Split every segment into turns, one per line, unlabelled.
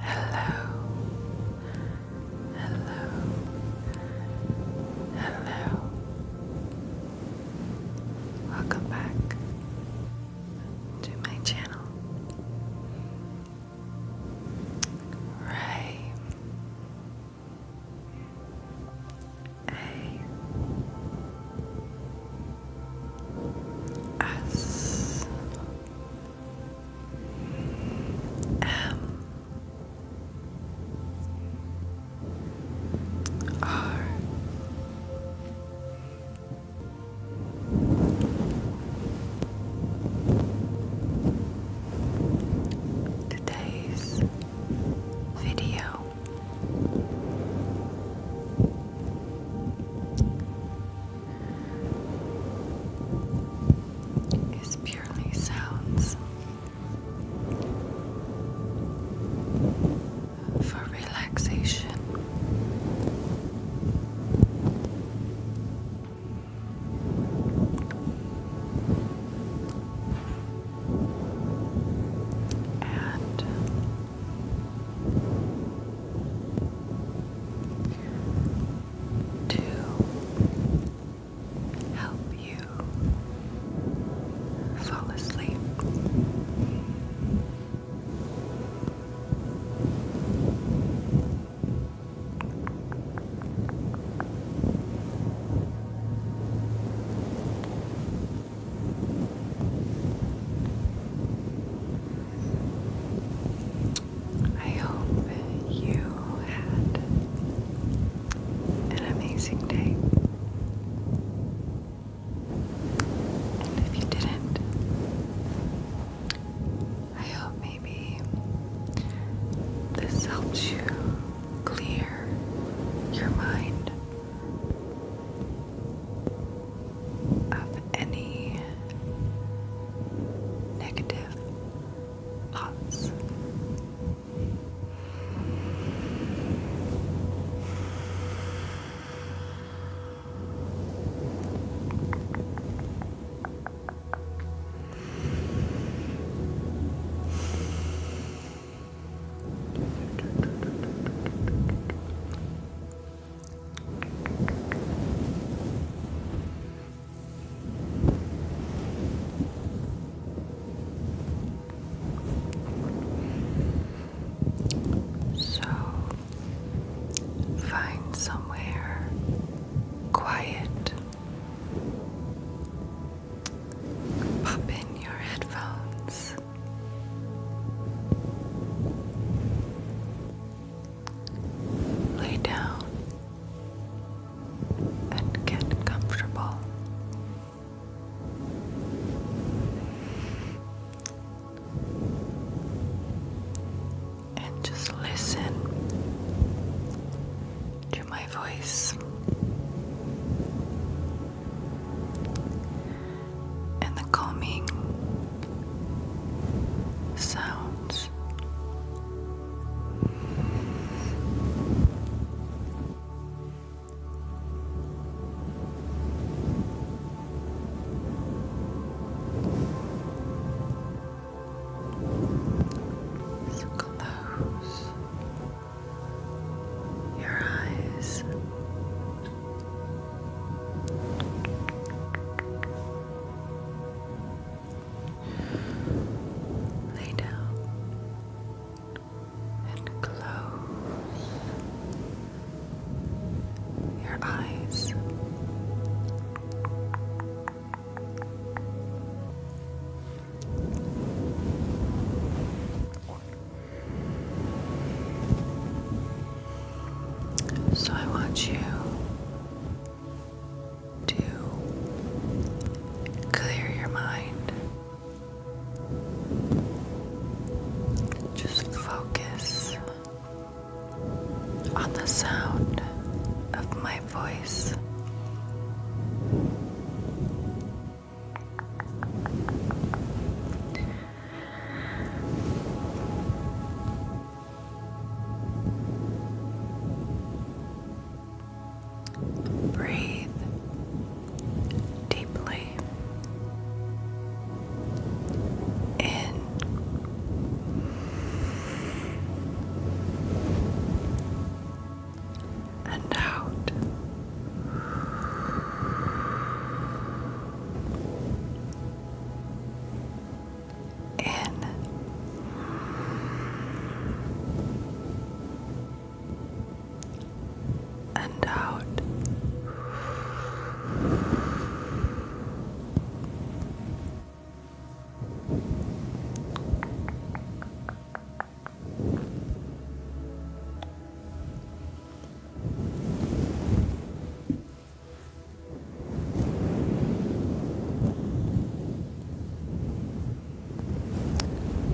Hello, hello, hello. Welcome back to my channel. Ray. A. S. M R Today's video is purely sounds for relaxation. And to help you fall asleep. I hope you had an amazing day. And if you didn't, I hope maybe this helps you clear your mind of any negative thoughts. So find somewhere quiet. Pop in your headphones Lay down and get comfortable. And just listen to my voice and the calming sounds. close your eyes Lay down and close your eyes. So I want you to clear your mind. Just focus on the sound of my voice. Breathe deeply in and out in and out.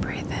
Breathe in. Breathe in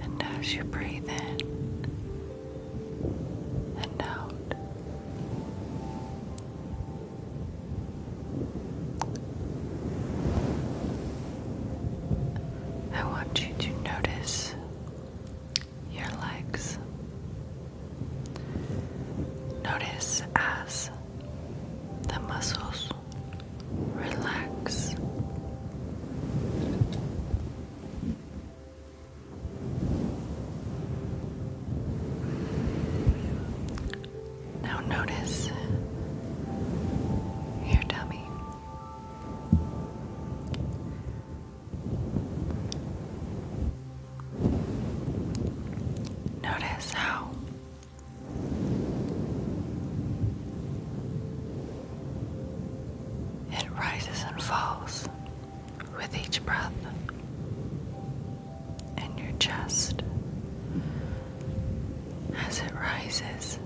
And as you breathe in and out, I want you to notice your legs. Notice as the muscles relax. Now notice your tummy. Notice how it rises and falls with each breath in your chest. As it rises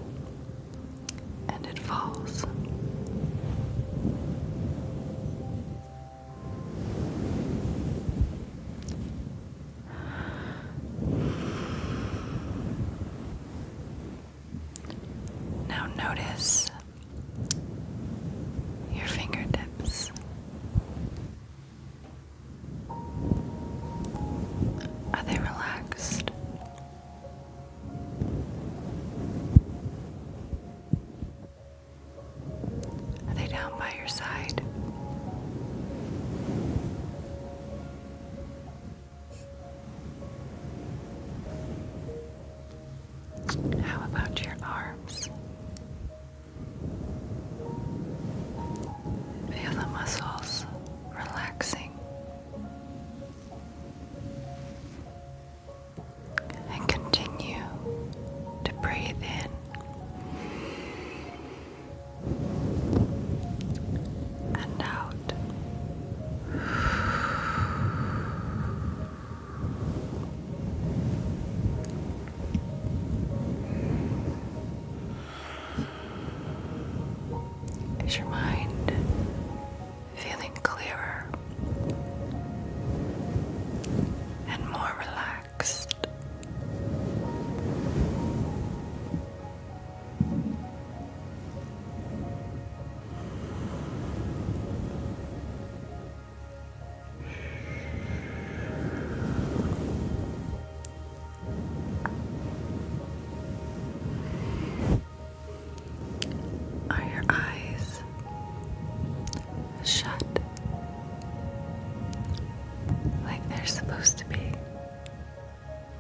and it falls. Now notice your fingertips. Are they relaxed? Are they down by your side? How about your arms? Feel the muscles relaxing and continue to breathe in and out. Is your mind feeling clearer and more relaxed? Are your eyes shut like they're supposed to be?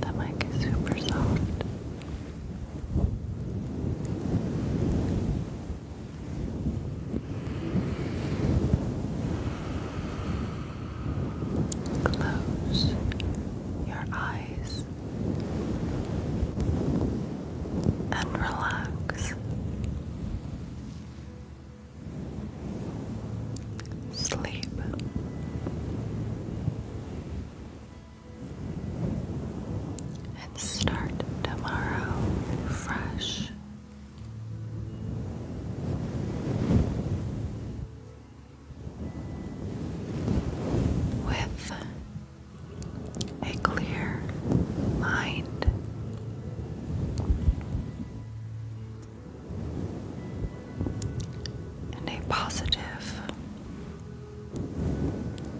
The mic is super soft. Close your eyes and relax. Sleep and start tomorrow fresh. With a clear mind, and a positive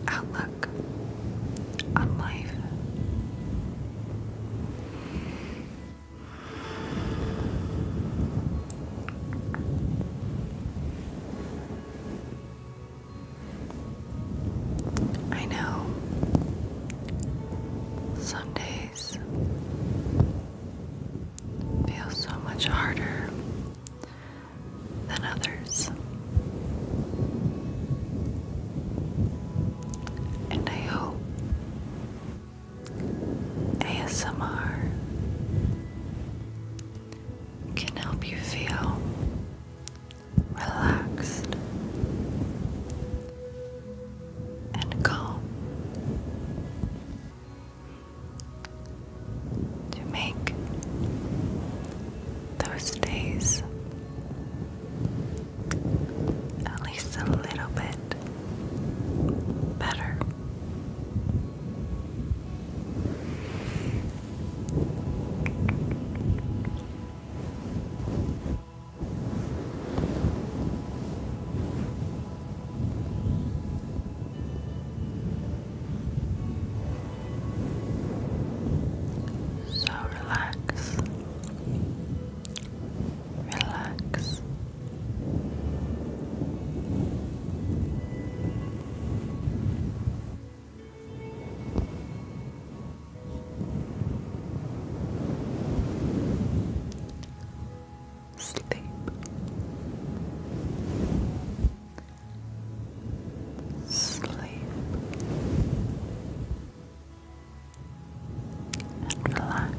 outlook on life. I know some days feel so much harder than others. And I hope ASMR can help you feel relaxed and calm to make those days at least a little bit better. So relax, relax sleep. Sleep and relax.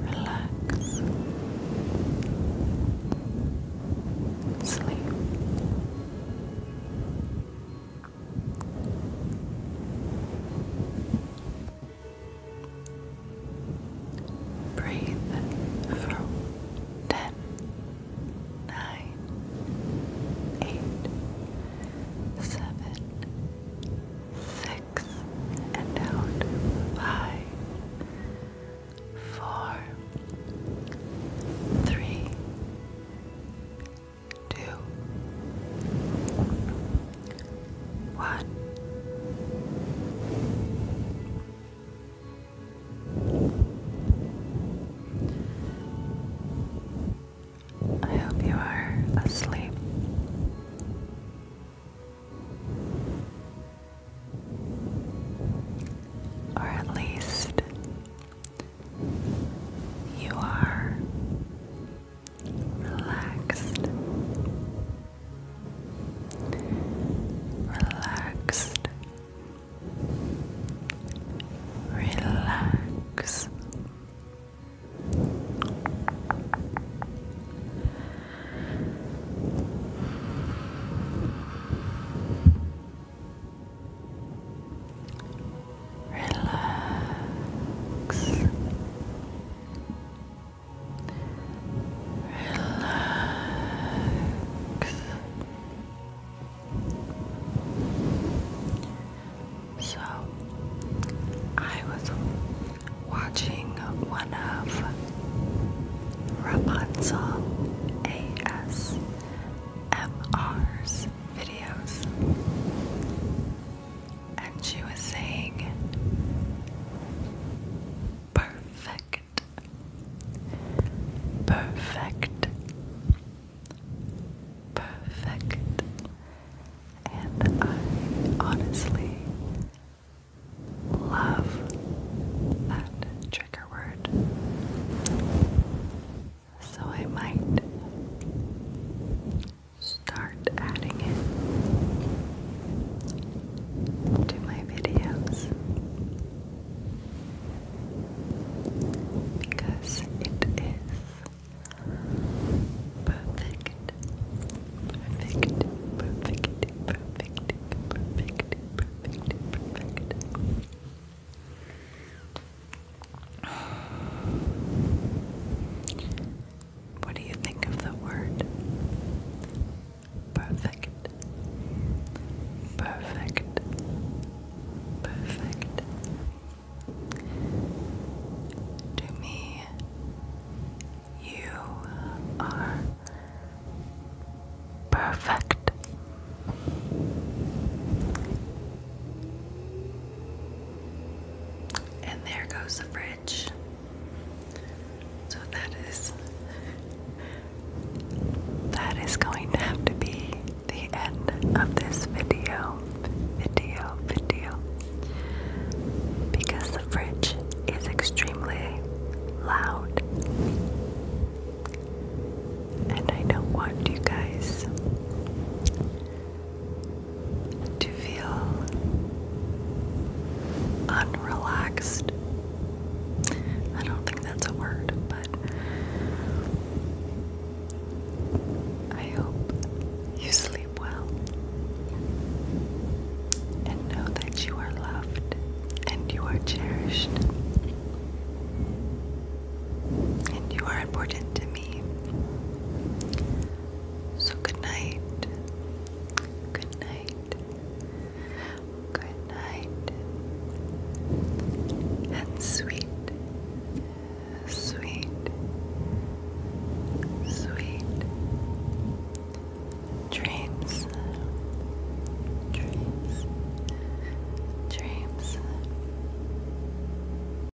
Relax. Sleep. Breathe for ten, nine, eight, seven, six, and out five, four, three, two, one. I hope you are asleep. Or at least you are relaxed, relaxed, relax. Relax. Relax. Relax. So, I was watching one of Rapunzel ASMR's videos, and she was saying, Perfect, perfect, perfect. And I honestly love that trigger word. So I might start adding it to my videos because it is perfect, perfect, perfect, perfect, perfect, perfect, perfect. What do you think of the word? Perfect. Perfect. Perfect. To me, you are perfect. And there goes the fridge. So that is that is going to have to be the end of this video. Video, video. Because the fridge is extremely loud. And I don't want you guys to feel unrelaxed. I don't think that's a word, but I hope you sleep well and know that you are loved and you are cherished. And you are important to me. So good night. Good night. Good night. And sweet, sweet, sweet dreams. Dreams. Dreams.